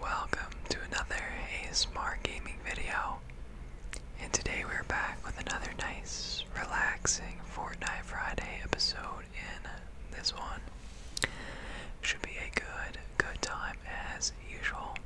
Welcome to another ASMR gaming video. And today we're back with another nice, relaxing Fortnite Friday episode in this one. Should be a good, good time as usual.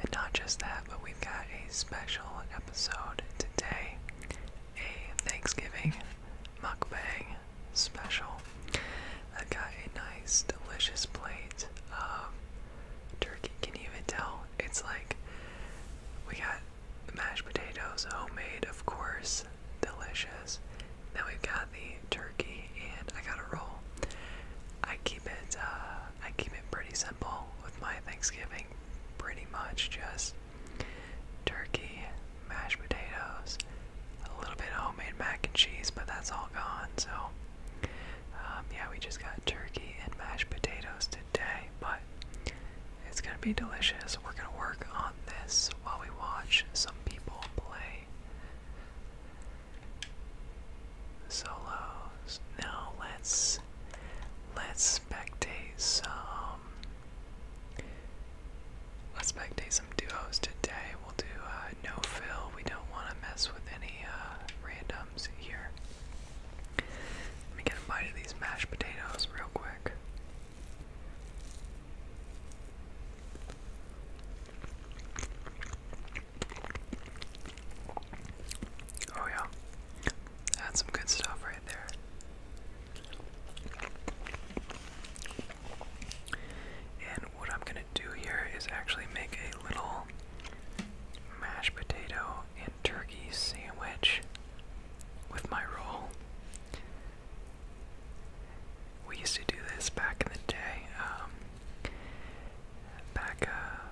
And not just that, but we've got a special episode today. A Thanksgiving mukbang special. i got a nice, delicious plate of turkey. Can you even tell? It's like we got mashed potatoes, homemade, of course, delicious. Then we've got the turkey, and I got a roll. I keep it, uh, I keep it pretty simple with my Thanksgiving. Pretty much just turkey, mashed potatoes, a little bit of homemade mac and cheese, but that's all gone. So, um, yeah, we just got turkey and mashed potatoes today, but it's gonna be delicious. We're gonna work on this while we watch some people play solos. Now let's let's spectate some Let's make some duos today. We'll do uh, no fill. We don't want to mess with any uh, randoms here. Let me get a bite of these mashed potatoes real quick. Oh, yeah. That's some good stuff right there. And what I'm gonna do here is actually make a little mashed potato and turkey sandwich with my roll. We used to do this back in the day. Um, back uh,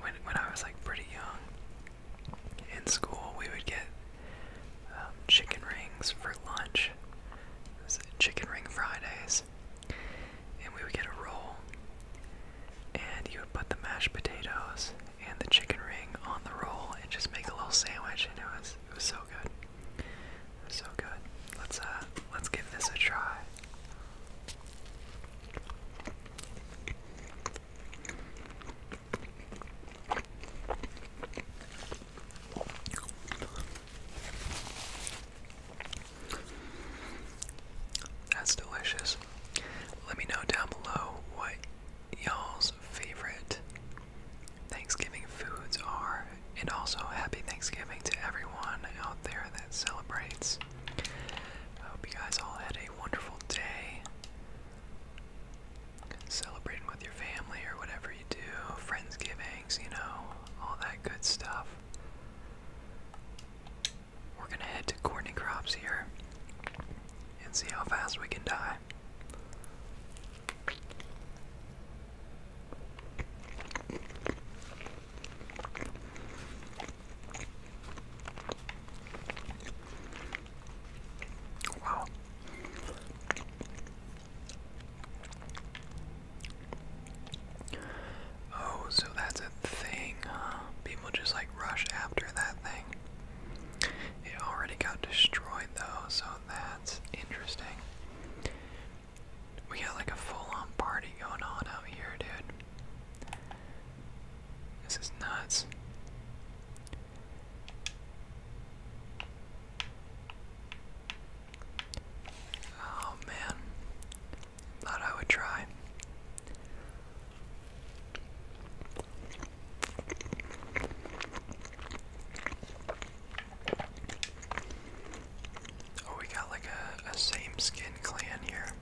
when when I was like pretty young in school, we would get um, chicken rings for lunch. It was chicken ring Fridays. And we would get a roll, and you would put the mashed potatoes and the chicken ring on the roll and just make a little sandwich, and it was it was so good. so good. Let's uh let's give this a try. That's delicious. Let me know down below what y'all's favorite Thanksgiving foods are, and also happy Thanksgiving to everyone out there that celebrates. hope you guys all had a wonderful day. Celebrating with your family or whatever you do, Friendsgiving, you know, all that good stuff. We're gonna head to Courtney Crops here and see how fast we can die. Wow. Oh, so that's a thing, People just like rush after that thing. It already got destroyed though, so that's interesting. We got like a full on party going on out here, dude. This is nuts. Oh man, thought I would try. Oh, we got like a, a same skin clan here.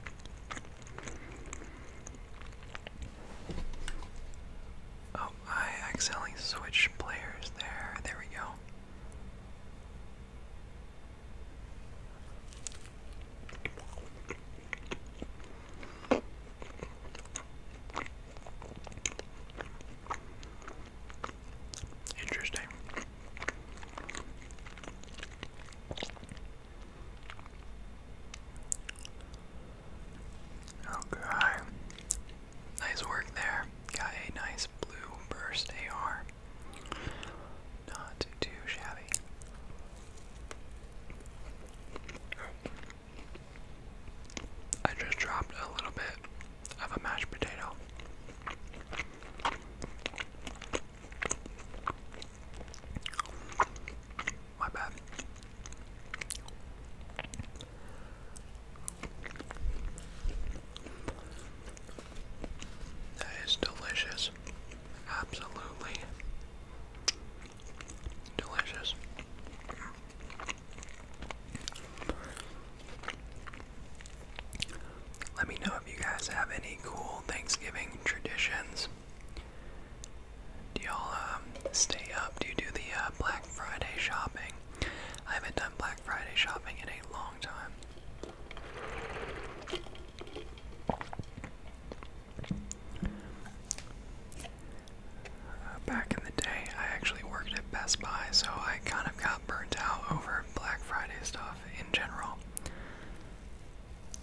Oh, I accidentally switched players there. There we go. Interesting. Okay. Nice work there. Got a nice blue burst AR. Not too shabby. I just dropped a little bit of a mashed potato. My bad. That is delicious. Absolutely delicious. Let me know if you guys have any cool Thanksgiving traditions. Do y'all um, stay up? Do you do the uh, Black Friday shopping? I haven't done Black Black Friday shopping in a long time. Uh, back in the day, I actually worked at Best Buy, so I kind of got burnt out over Black Friday stuff in general.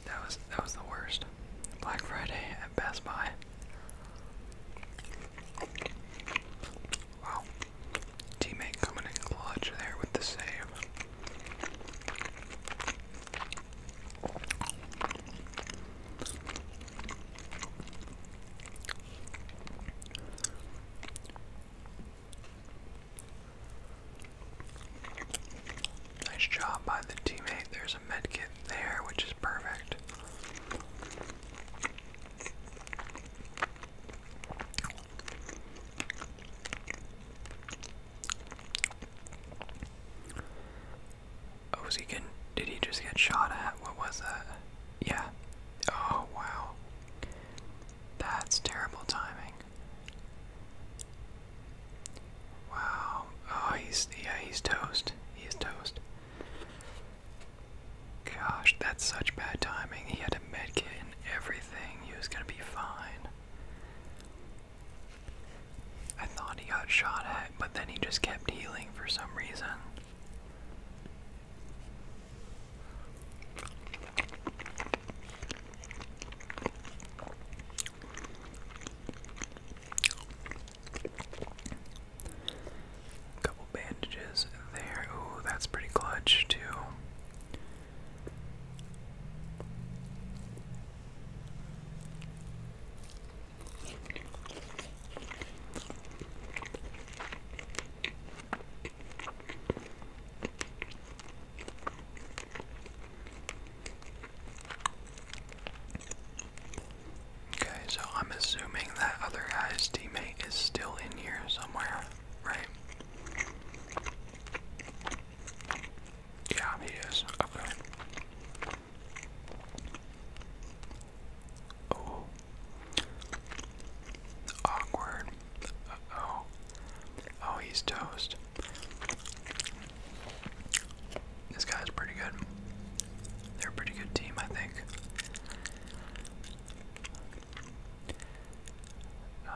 That was that was the worst. Black Friday at Best Buy. Wow. Teammate coming in clutch there with the save. Nice job by the teammate. There's a med kit there, which is perfect. Oh, was he getting, did he just get shot at? What was that? Yeah. Oh, wow. That's terrible timing. Wow. Oh, he's, yeah, he's toast. He toast. Gosh, that's such bad timing. He had a medkit and everything. He was gonna be fine. I thought he got shot at, but then he just kept healing for some reason. A couple bandages there. Ooh, that's pretty clutch, too. Okay, so I'm assuming that other guy's teammate is still in here somewhere right? Yeah, he is. Okay. Oh. Awkward. oh. Oh, he's toast. This guy's pretty good. They're a pretty good team, I think. Uh,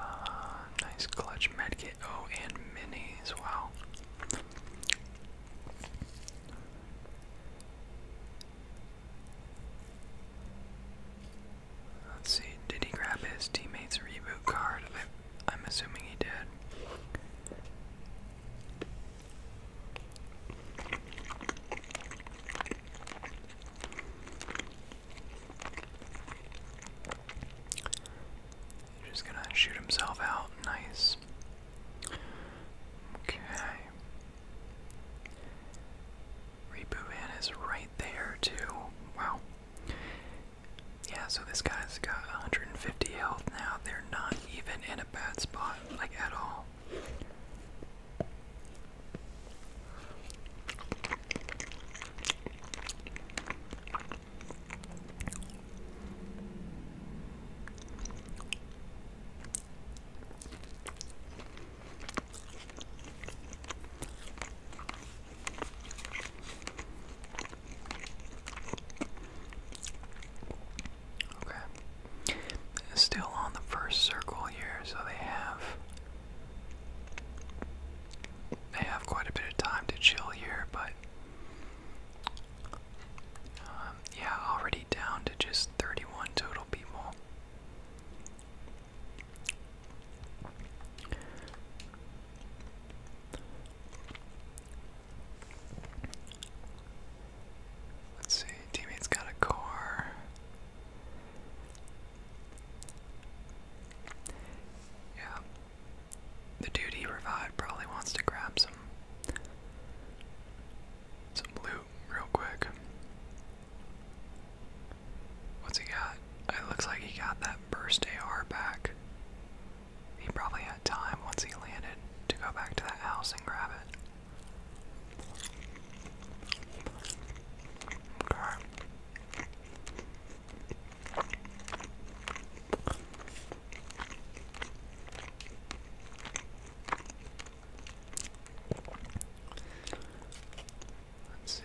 nice clutch medkit. Oh, and minis. Wow. Let's see. Did he grab his teammate's reboot card? I'm assuming he did. He's just gonna shoot himself out. Nice. Okay. Reaper is right there too. Wow. Yeah, so this guy's got 150 health now. They're not even in a bad spot, like at all. Okay. Still on the first circle here, so they have I have quite a bit of time to chill here, but um, yeah, already down to just 31 total people. Let's see, teammate's got a car. Yeah. The dude he revived probably wants to grab some some loot real quick. What's he got? It looks like he got that burst AR back. He probably had time once he landed to go back to that house and grab it. Okay. Let's see,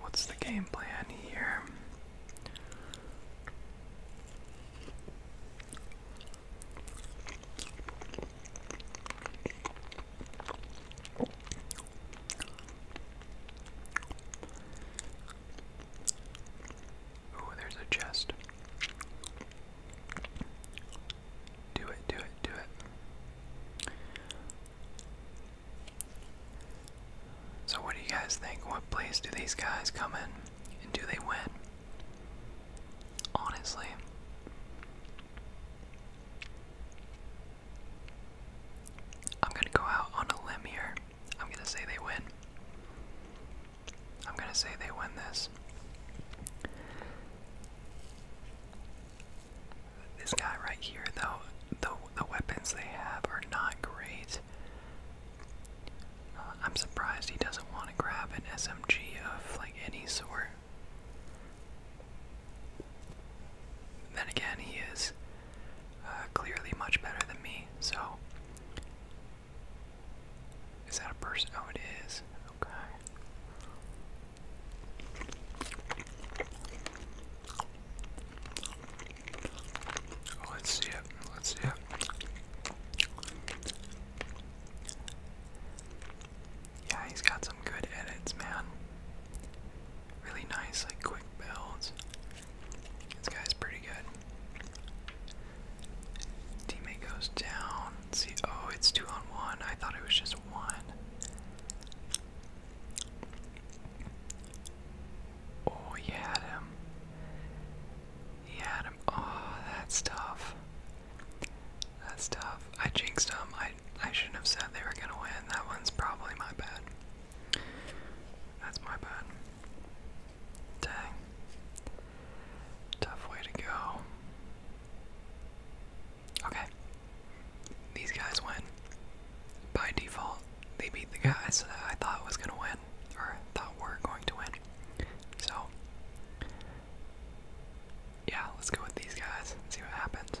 what's the game plan here? Ooh, there's a chest. Do it, do it, do it. So, what do you guys think? What place do these guys come in? And do they win? Honestly. I'm going to go out on a limb here. I'm going to say they win. I'm going to say they win this. This guy right here, though, the, the weapons they have are not great. Uh, I'm surprised he doesn't want to grab an SMG of like any sort. Then again, he is uh, clearly much better than me, so. Is that a person? Oh, it is. Okay. let's see it. Let's see it. Yeah, he's got some good edits, man really nice, like quick builds. This guy's pretty good. Teammate goes down. see, oh, it's two on one. I thought it was just one. Oh, he had him. He had him. Oh, that's tough. That's tough. I jinxed him. I shouldn't have said they were gonna win. That one's probably my bad. That's my bad. Dang. Tough way to go. Okay. These guys win. By default, they beat the guys that I thought was gonna win, or thought were going to win. So yeah, let's go with these guys and see what happens.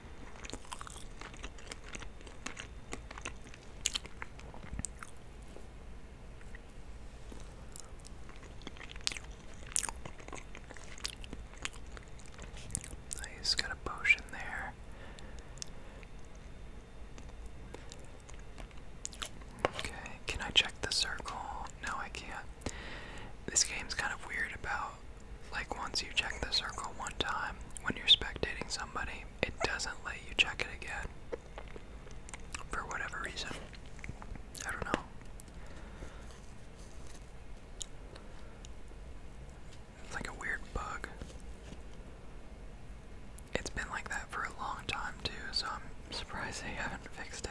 Nice, oh, got a potion there. Okay, can I check the circle? No, I can't. This game's kind of weird about like once you check the circle one time when you're spectating somebody, it doesn't let you check it again for whatever reason. I don't know. It's like a weird bug. It's been like that for a long time, too, so I'm surprised they haven't fixed it.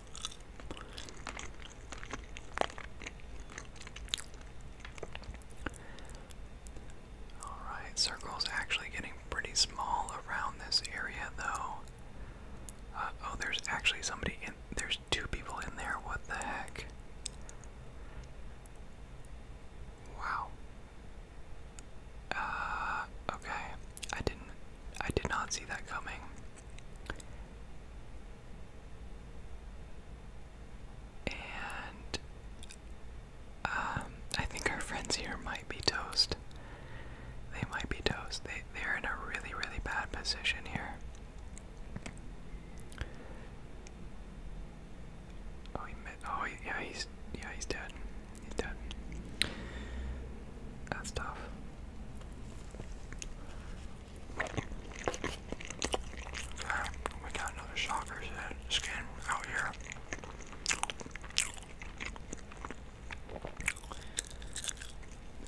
Alright, circle's actually getting pretty small around this area though. Uh, oh, there's actually somebody in there's two people in there. What the heck? Wow. Uh okay. I didn't I did not see that coming. And um, I think our friends here might be toast. They might be toast. They they're in a really really bad position here. Oh, he met, oh yeah, he's yeah he's dead. He's dead. That's tough. We oh got another soccer's head skin out here.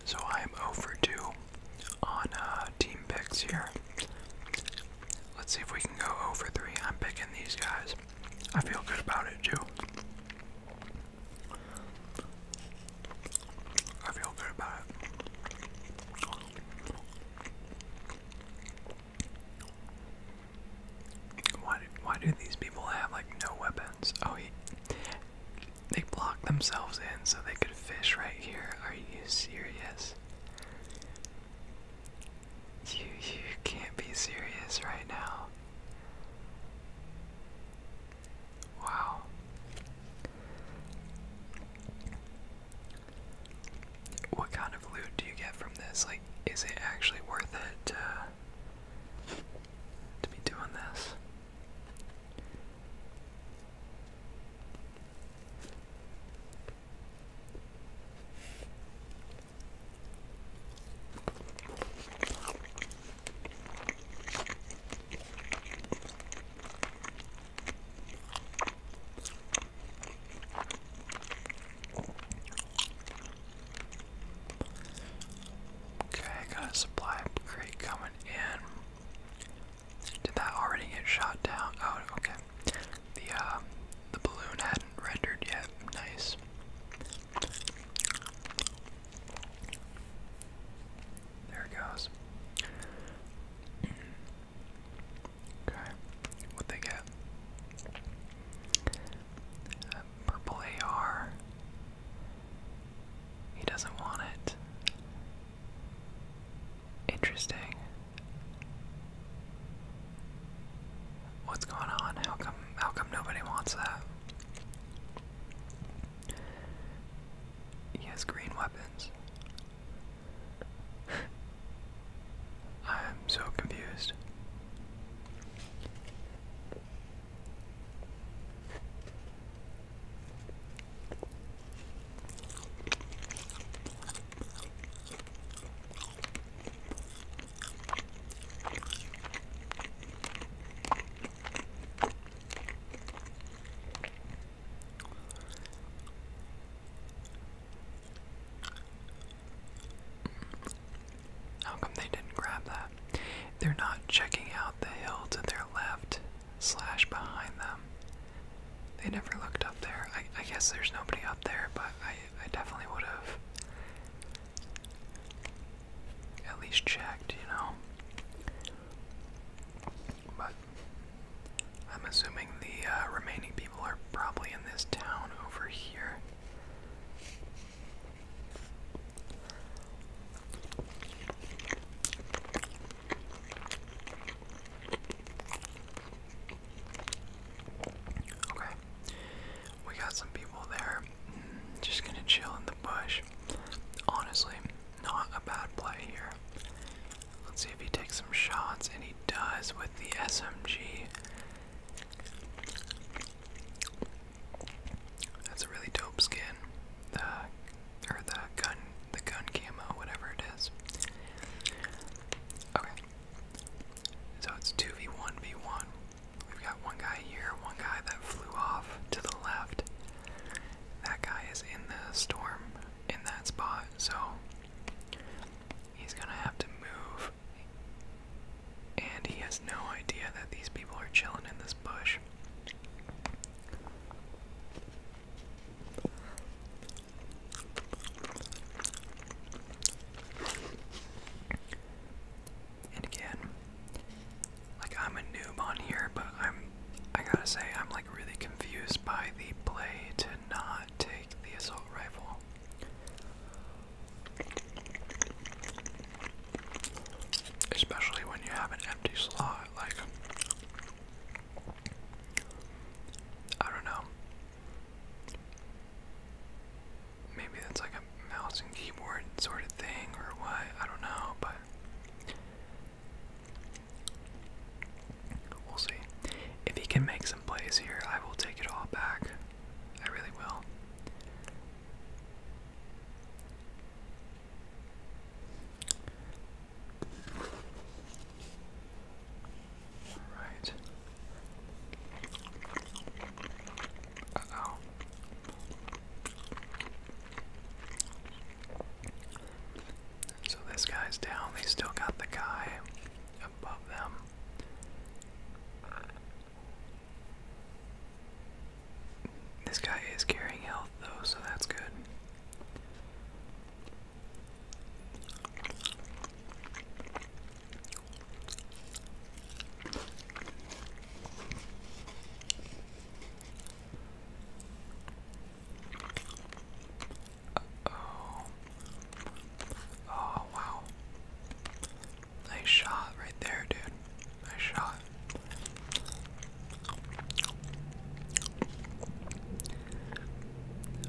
So I am over two on uh, team picks here. Let's see if we can go over three. I'm picking these guys. I feel good about it too. I feel good about Why why do these people have like no weapons? Oh, he, they block themselves in so they could fish right here. Are you serious? You you can't be serious right now. Wow. What kind of loot do you get from this? Like, is it actually worth it to, be doing this? Okay, I got a supply crate coming in. Did that already get shot down? Oh, okay. The uh, the balloon hadn't rendered yet. Nice. There it goes. Okay, what they get? Uh, purple AR. He doesn't want it. Interesting. What's going on? How come how come nobody wants that? He has green weapons. I am so confused. How come they didn't grab that? They're not checking out the hill to their left slash behind them. They never looked up there. I, I guess there's nobody up there, but I, I definitely would have at least checked, you know but I'm assuming the uh, remaining people are probably in this town over here. Okay, we got some people there. Mm, just gonna chill in the bush. Honestly, not a bad play here. Let's see if he takes some shots, and he does with the SMG. That's a really dope skin. The or the gun, the gun camo, whatever it is. Okay. So it's 2v1v1. We've got one guy here, one guy that flew off to the left that guy is in the storm in that spot, so he's gonna have to move. And he has no idea that these people are chilling in this bush. And again, like I'm a noob on here, but I'm I gotta say I'm really confused by the play to not take the assault rifle. Especially when you have an empty slot, like I don't know. Maybe that's like a mouse and keyboard sort of thing or what, I don't know, but We'll see. If he can make some plays here, I will take it all back. I really will. Alright. oh. So this guy's down. They still got the guy above them. This guy is carrying health though, so that's good oh. Oh, wow. Nice shot right there, dude. Nice shot.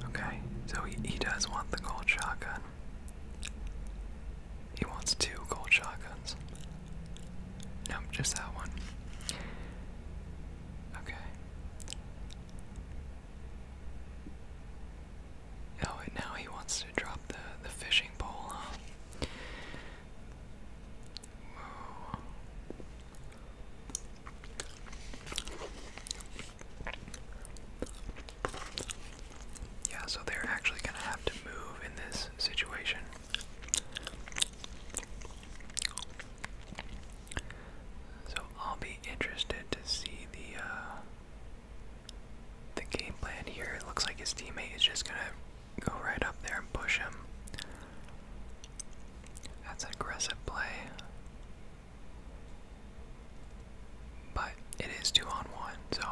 Okay, so he, he does want the gold shotgun. He wants two gold shotguns. Nope, just that one. Okay. Oh, and now he wants to drop the, the fishing pole, Yeah, so they're actually going to have to move in this situation. So I'll be interested to see the uh, the game plan here. It looks like his teammate is just gonna go right up there and push him. That's an aggressive play. But it is two on one, so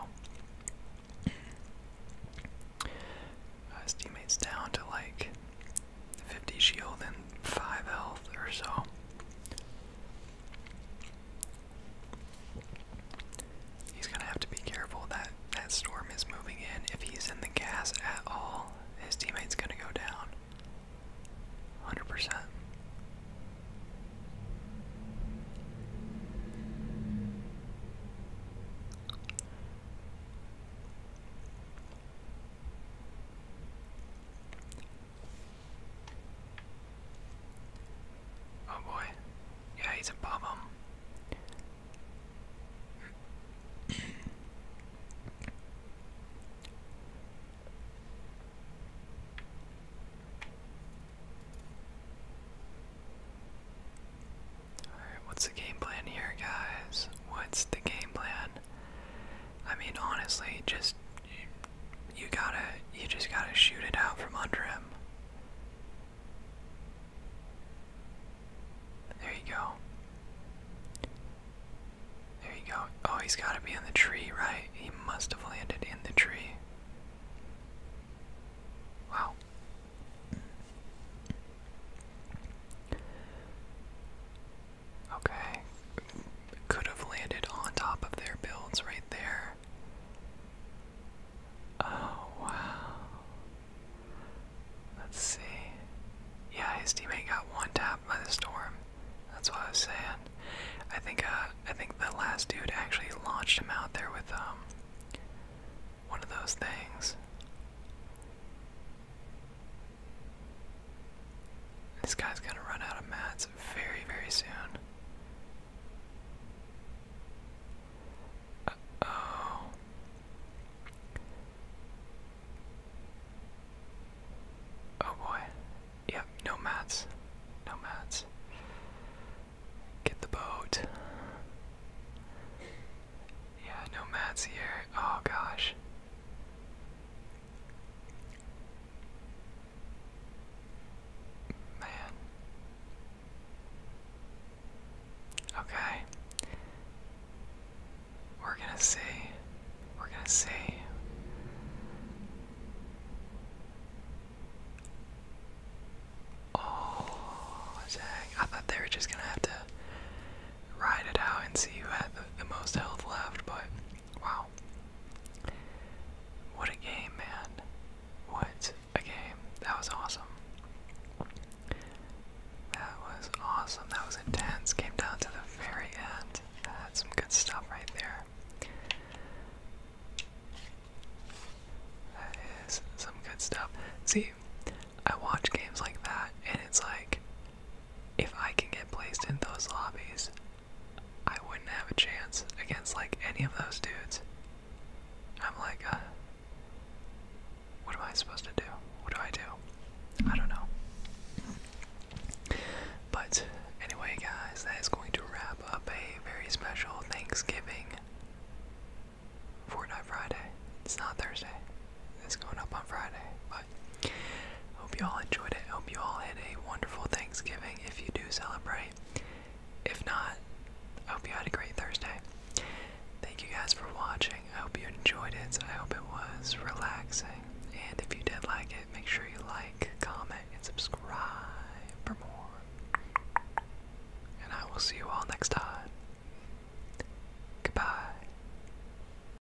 uh, his teammate's down to like 50 shield and 5 health or so. He's gonna have to be careful that that storm is moving in. If he's in the gas at all, his teammate's gonna go down. 100%. Oh boy. Yeah, he's above him. Alright, what's the game plan here, guys? What's the game plan? I mean, honestly, just you, gotta, you just gotta shoot it out from under him. There you go. There you go. Oh, he's gotta be in the tree, right? He must have landed in the tree. Wow. Okay. Could have landed on top of their builds right there. Oh, wow. Let's see. Yeah, his teammate got one tap by the storm. That's what I was saying. I think uh, I think the last dude actually launched him out there with um one of those things. This guy's gonna run out of mats very, very soon. oh. Oh boy. Yep, no mats. No mats. Get the boat. Yeah, no mats here. Oh gosh. Man. Okay. We're gonna see. We're gonna see. Oh, dang. I thought they were just gonna have to ride it out and see who had the, most health left, but wow. What a game, man. What a game. That was awesome. That was awesome. That was intense. Came down to the very end. That's some good stuff right there. That is some good stuff. See, I watch games like that, and it's like if I can get placed in those lobbies, I wouldn't have a chance against like any of those dudes. I'm like, uh, what am I supposed to do? What do I do? I don't know. But anyway, guys, that is going to wrap up a very special Thanksgiving Fortnite Friday. It's not Thursday. It's going up on Friday, hope you all enjoyed it. Hope you all had a wonderful Thanksgiving if you do celebrate. If not, hope you had a great Thursday. Thank you guys for watching. I hope you enjoyed it. I hope it was relaxing. And if you did like it, make sure you like, comment, and subscribe for more. And I will see you all next time. Goodbye.